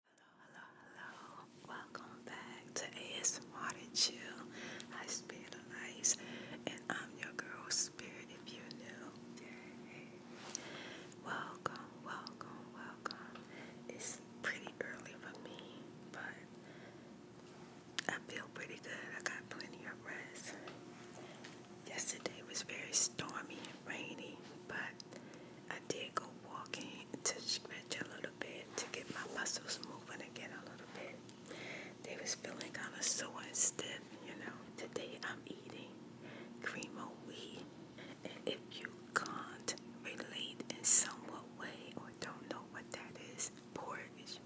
Hello, hello, hello. Welcome back to ASMR to Chill. I Spiritualize, and I'm your girl, Spirit, if you're Welcome, welcome, welcome. It's pretty early for me, but I feel pretty good. I got plenty of rest. Yesterday was very stormy and rainy, but I did go walking to stretch a little bit to get my muscles moving again a little bit. They was feeling kind of sore and stiff, you know. Today I'm eating cream of wheat. And if you can't relate in somewhat way or don't know what that is, porridge.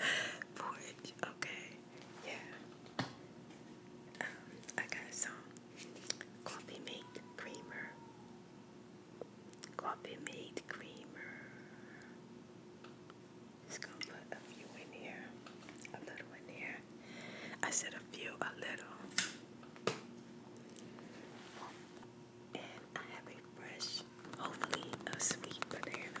porridge, okay. Yeah. Um, I Coffee mate creamer. Coffee mate creamer. Just gonna put a few in here, a little in here. I said a few, a little. And I have a fresh, hopefully a sweet banana.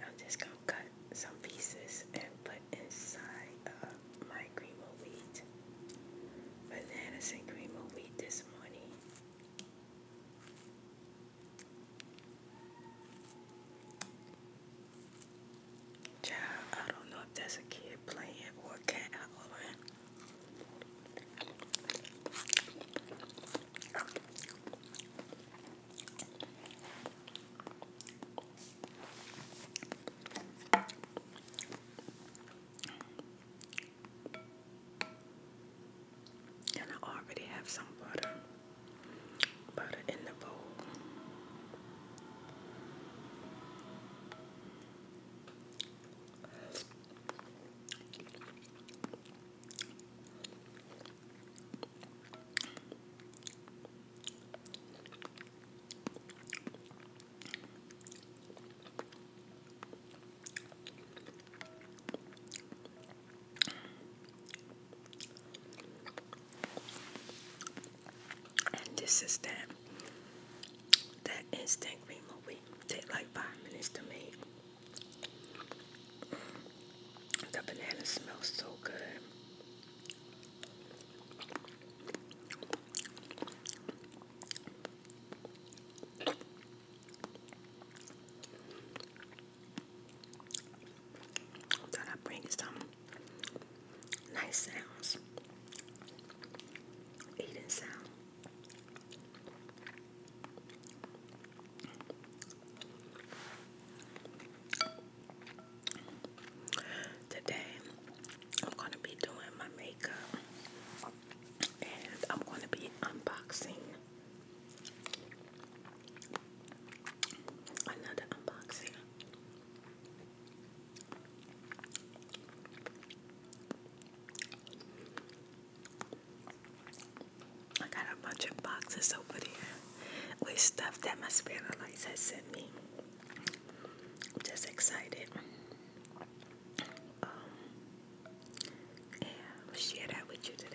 I'm just gonna cut some pieces and put inside my cream of wheat, bananas and cream of wheat this morning. Child, I don't know if that's a kid playing or a cat out over and I already have some butter. Butter in the bowl this is that that instant cream movie. Take like five minutes to make. Mm. The banana smells so good. Thought I'd bring some nice sounds. Eating sound. Today I'm going to be doing my makeup and I'm going to be unboxing Another unboxing. I got a bunch of boxes over there with stuff that my spirit lights has sent me. I'm just excited. Um, I'll share that with you today.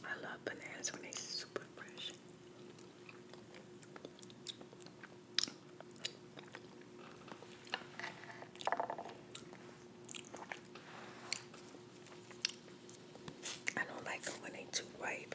I love bananas when they're super fresh. I don't like them when they're too ripe.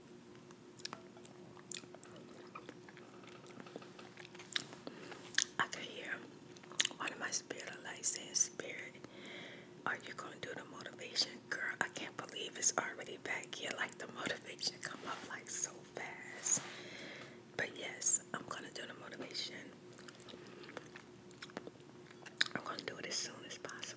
I can hear one of my spirit lights saying, Spirit, are you going to do the motivation? Girl, I can't believe it's already back here. Like the motivation come up like so fast. But yes, I'm going to do the motivation. I'm going to do it as soon as possible.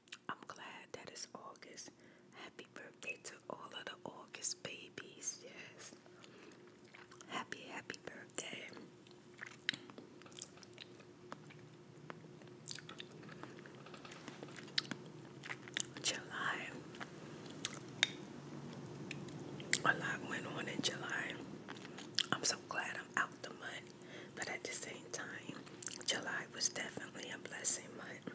I'm glad that it's August. Happy birthday to all of the August babies. Yes. Happy, happy birthday. July. A lot went on in July. I'm so glad I'm out the month, but at the same time, July was definitely a blessing month.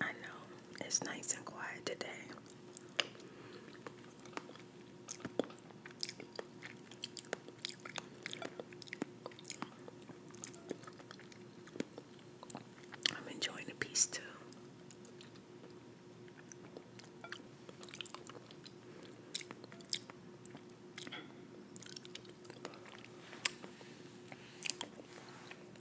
I know it's nice and quiet today. I'm enjoying the peace too.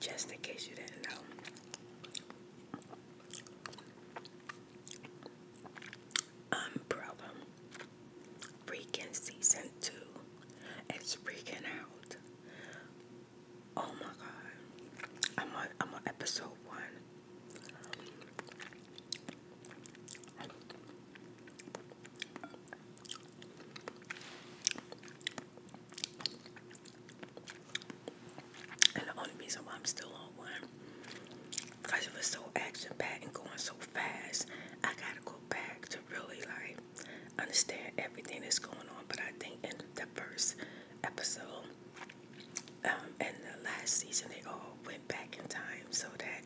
Just in case you didn't know. Umbrella. Freaking season two. It's freaking out. Oh my god. I'm on I'm on episode one. And the only reason why I'm still on one, because it was so action packed and going so fast, I gotta go back to really like understand everything that's going on. But I think in the first episode um, and the last season, they all went back in time so that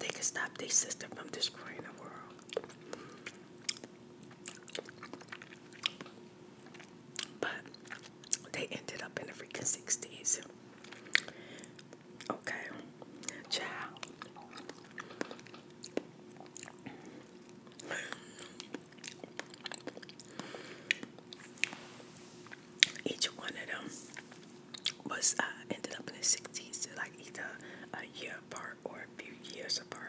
they could stop their sister from destroying the world. But they ended up in the freaking 60s. Okay, child. Each one of them was uh, ended up in the 60s, like either a year apart or a few years apart.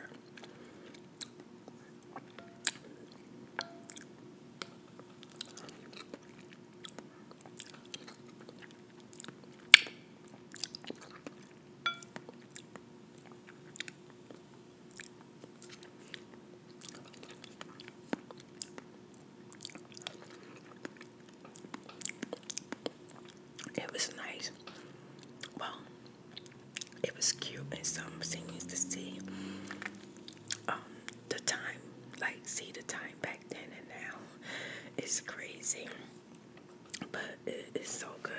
It was nice. Well, it was cute and some scenes to see um, the time, like see the time back then and now. It's crazy, but it's so good.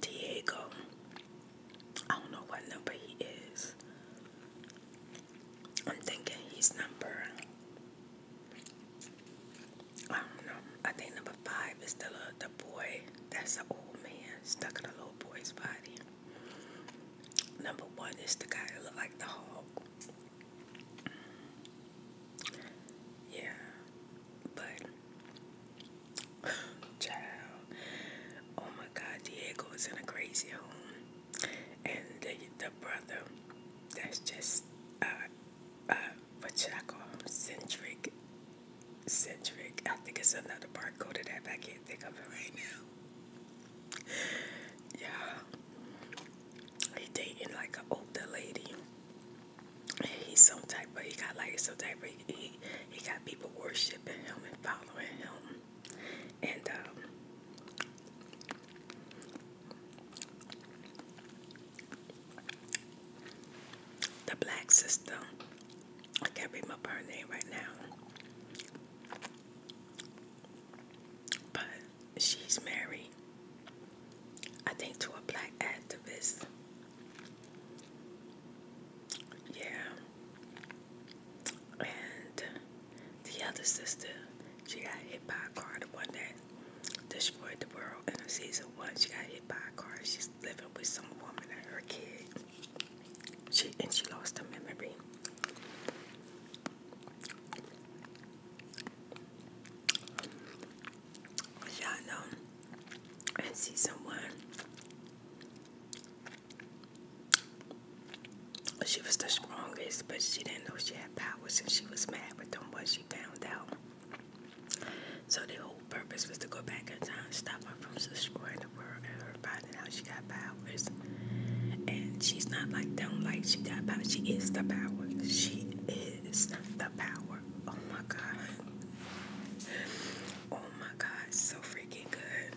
Diego. I don't know what number he is. I'm thinking he's number. I don't know. I think number five is the little, the boy. That's an old man stuck in a little boy's body. Number one is the guy that looked like the Hulk. Yeah, but child, oh my God, Diego is in a crazy home, and the, the brother that's just uh uh what y'all call him centric, centric. I think it's another barcode of that, but I can't think of it right now yeah, he dating like an older lady. He's some type of he got like some type he he got people worshiping him and following him, and um, The black system. I can't remember her name right now. But she's married, I think, to a black activist. Yeah. And the other sister, she got hit by a car, the one that destroyed the world in season one. She got hit by a car. She's living with some woman and her kid. She and she lost her memory. Y'all know and see someone. She was the strongest, but she didn't know she had powers, and she was mad with them once she found out. So the whole purpose was to go back in time, stop power from destroying the world and her finding out she got powers. And she's not like don't like she got power. She is the power. She is the power. Oh my god. Oh my god, so freaking good.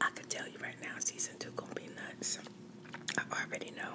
I can tell you right now, season two gonna be nuts. I already know.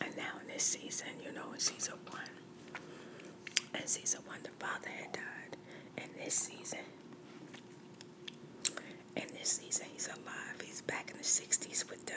And now in this season, you know, in season one, in season one, the father had died. In this season, in this season, he's alive. He's back in the 60s with them.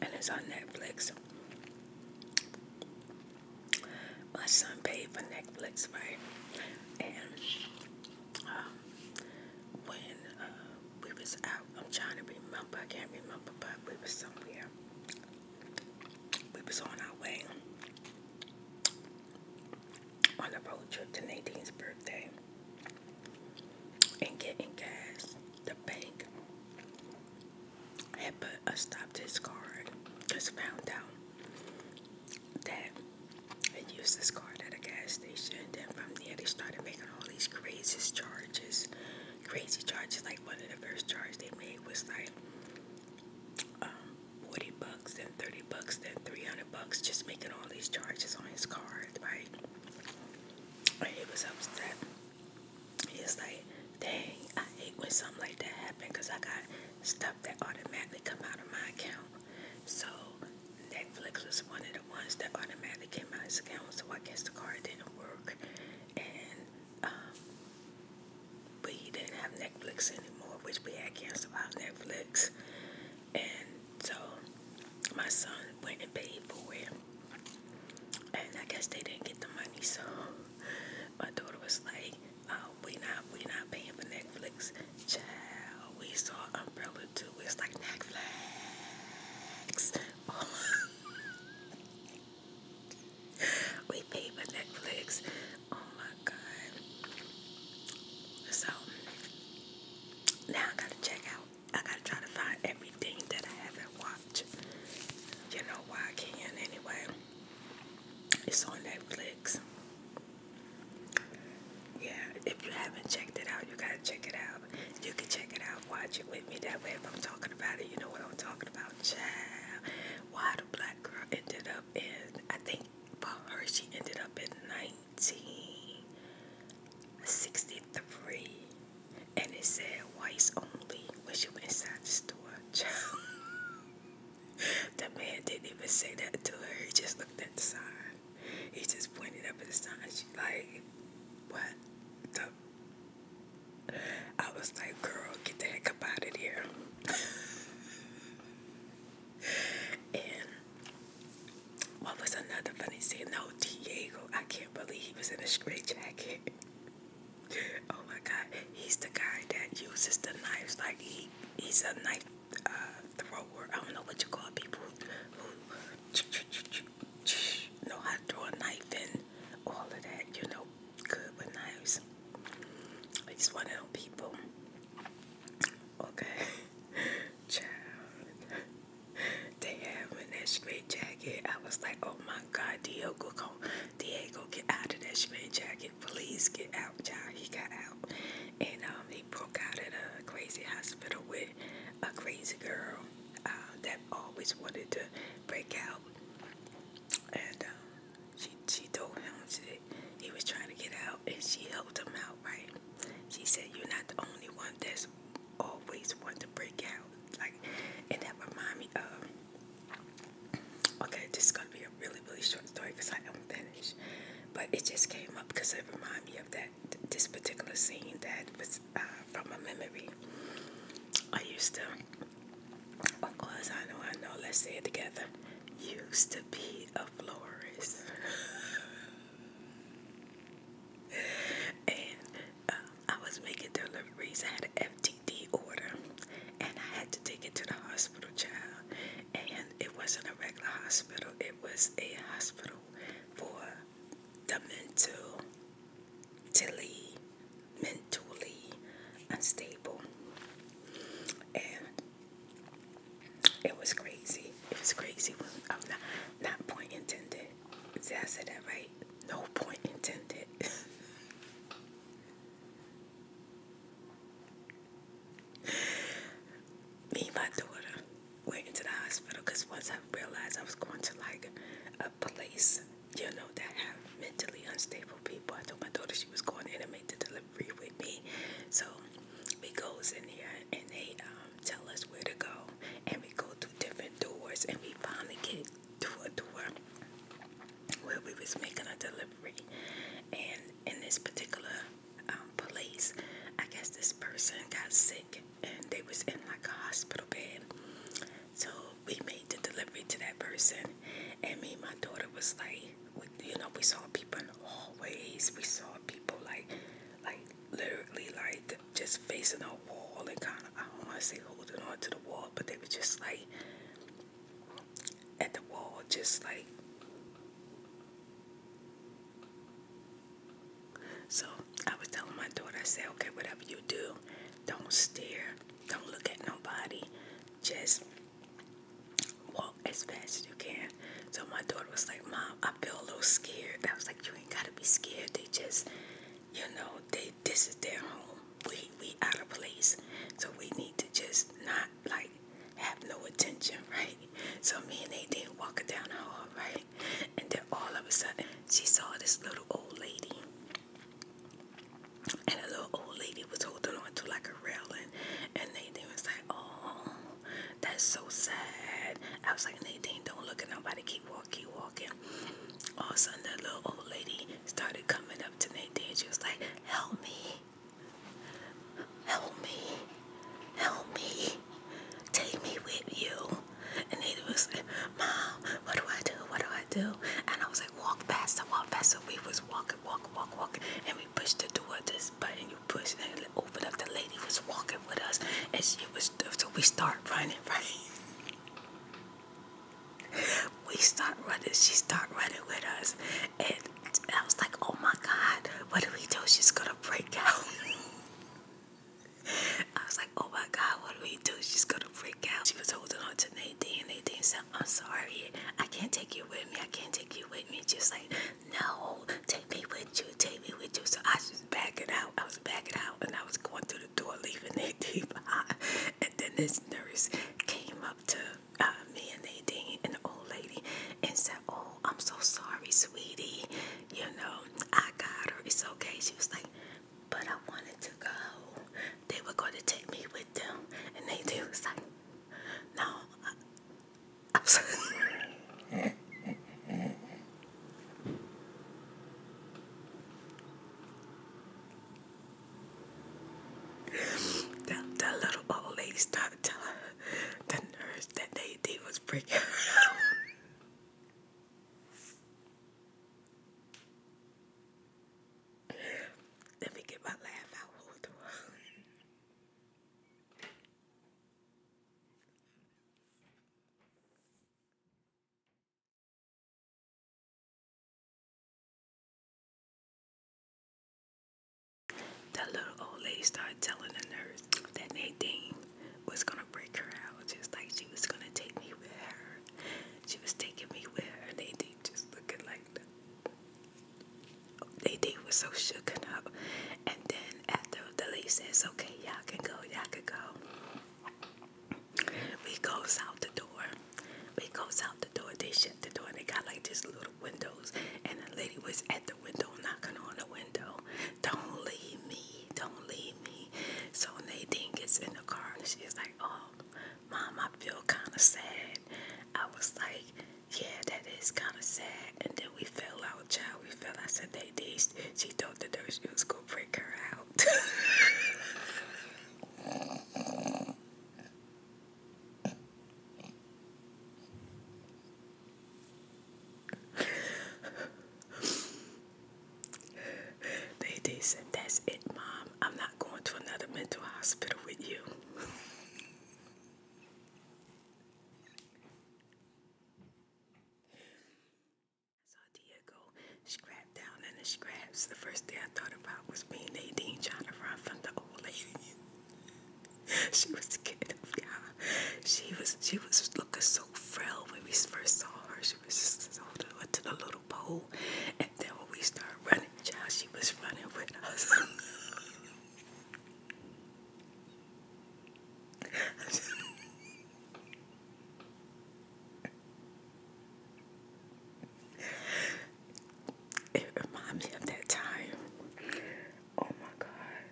and it's on Netflix. My son paid for Netflix, right? And um, when uh, we was out, I'm trying to remember. I can't remember, but we was somewhere. We was on our way on a boat trip to Nadine's birthday and getting gas, the bank had put a stop to his card. Just found out that they used this card at a gas station. Then from there, they started making all these crazy charges. Crazy charges, like one of the first charges they made was like um, 40 bucks, then 30 bucks, then 300 bucks, just making all these charges on his card, right? He was upset. He's like, dang, I hate when something like that happens because I got stuff that automatically come out of my account. So Netflix was one of the ones that automatically came out of his account. So I guess the card didn't work. And um, we didn't have Netflix anymore, which we had canceled out Netflix. And so my son went and paid for it. And I guess they didn't get the money, so my daughter was like, oh, we not we not paying for Netflix. Child, we saw Umbrella too. It's like Netflix. we paid for Netflix. Oh my god. So now I gotta check out I gotta try to find everything that I haven't watched. You know why I can not anyway. It's on Netflix. Yeah, if you haven't checked it out, you gotta check it out. You can check it out, watch it with me. That way, if I'm talking about it, you know what I'm talking about. Child, why the black girl ended up in, I think for her, she ended up in 1963 and it said whites only when she went inside the store. the man didn't even say that to her. He just looked at the sign. He just pointed up at the sign. She like, what the? I was like, girl, get the heck up out of here. and what was another funny scene? No, Diego. I can't believe he was in a straight jacket. oh my God, he's the guy that uses the knives. Like he, he's a knife uh, thrower. I don't know what you call people who know how to throw a knife and all of that. You know, good with knives. He's one of them people. Okay. they had me in jacket. I was like, oh my God, Diego, come, Diego, get out of that straight jacket. Please get out, child. He got out. And um, he broke out at a crazy hospital with a crazy girl uh, that always wanted to break out. And um, she, she told him she, he was trying to get out, and she helped him out, right? She said, you're not the only one that's always want to break out. Like, and that remind me of. Okay, this is gonna be a really really short story because I am finished, but it just came up because it reminded me of that this particular scene that was uh, from a memory. I used to. Of course, I know, I know. Let's say it together. Used to be a florist. and uh, I was making deliveries. I had an FTD order, and I had to take it to the hospital, child. And it wasn't a regular hospital; it was a hospital for the mentally, mentally unstable. And it was crazy. It was crazy. I'm not, not point intended. Did I say that right? No point intended. Me and my daughter went into the hospital because once I realized I was going to like a place, you know, that have mentally unstable people, I told my daughter she was going in and make the delivery with me. So we goes in there and they um tell us where to go, and we go through different doors, and we finally get to a door where we was making a delivery, and in this particular um, place, I guess this person got sick, and they was in like a hospital bed, so we made the delivery to that person, and me and my daughter was like, you know, we saw people in the hallways, we saw people like, like literally like just facing a wall and kind of, I don't want to say holding on to the wall, but they were just like at the wall, just like. So I was telling my daughter, I said, okay, whatever you do, don't stare, don't look at nobody, just walk as fast as you can. So my daughter was like, Mom, I feel a little scared. I was like, You ain't gotta be scared. They just, you know, they this is their home. We we out of place. So we need to just not like have no attention, right? So me and they did walking down the hall, right? And then all of a sudden she saw this little old lady. And a little old lady was holding on to like a railing and they, they was like, Oh that's so sad. I was like, Nadine, don't look at nobody. Keep walking, keep walking. All of a sudden, that little old lady started coming up to Nadine. She was like, help me. Help me. Help me. Take me with you. And Nadine was like, Mom, what do I do? What do I do? And I was like, walk faster, walk faster. We was walking, walking, walk, walking. And we pushed the towards this button you push and open up. The lady was walking with us, and she was so we start running, right? we start running. She start running with us, and I was like, "Oh my God, what do we do? She's gonna break out." I was like, "Oh my God, what do we do? She's gonna break out." She was holding on to Nadine. Nadine said, "I'm sorry, I can't take you with me. I can't take you with me." Just like no, take me with you, take me with you. So I was just backing out. I was backing out and I was going through the door, leaving Nadine behind. And then this nurse came up to uh, me and Nadine and the old lady and said, Oh, I'm so sorry, sweetie. You know, I got her. It's okay. She was like, But I wanted to go. They were going to take me with them. And Nadine was like, No, that, that little old lady started telling the nurse that they, did was breaking out. Let me get my laugh out. That little old lady started telling the nurse that Nadine was gonna break her out, just like she was gonna take me with her. She was taking me with her, Nadine just looking like Nadine was so shooken up, and then and after the lady says, okay, y'all can go, y'all can go. We goes out the door. We goes out the door. They shut the door. they got like just little windows. And the lady was at the window knocking on the window. Don't leave me. Don't leave me. So Nadine gets in the car and she's like, oh, mom, I feel kind of sad. I was like, yeah, that is kind of sad. And then we fell out, child. We fell. I said, that day she thought the nurse was gonna freak her out. they said, That's it, Mom. I'm not going to another mental hospital with you. I saw Diego scrapped down in the scraps. The first thing I thought about was me Nadine trying to run from the old lady. she was scared of God. She was she was looking so frail when we first saw her. She was just holding to the little pole. And then when we started running, child, she was running with us. It reminds me of that time. Oh my god.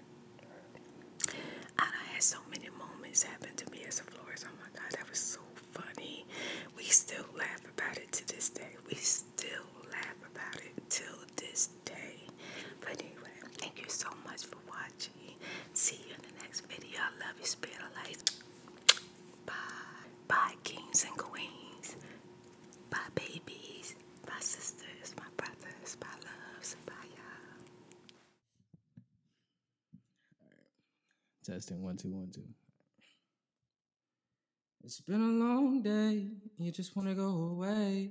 I had so many moments happen to me as a florist. Oh my god, that was so funny. We still laugh about it to this day. We still laugh about it till this day. But anyway, thank you so much for watching. See you in the next video. I love you, spirit of life. Bye. Bye, kings and queens. Bye, babies. Bye, sisters. My brothers. Bye, loves. Bye, y'all. Right. Testing one, two, one, two. It's been a long day. You just want to go away.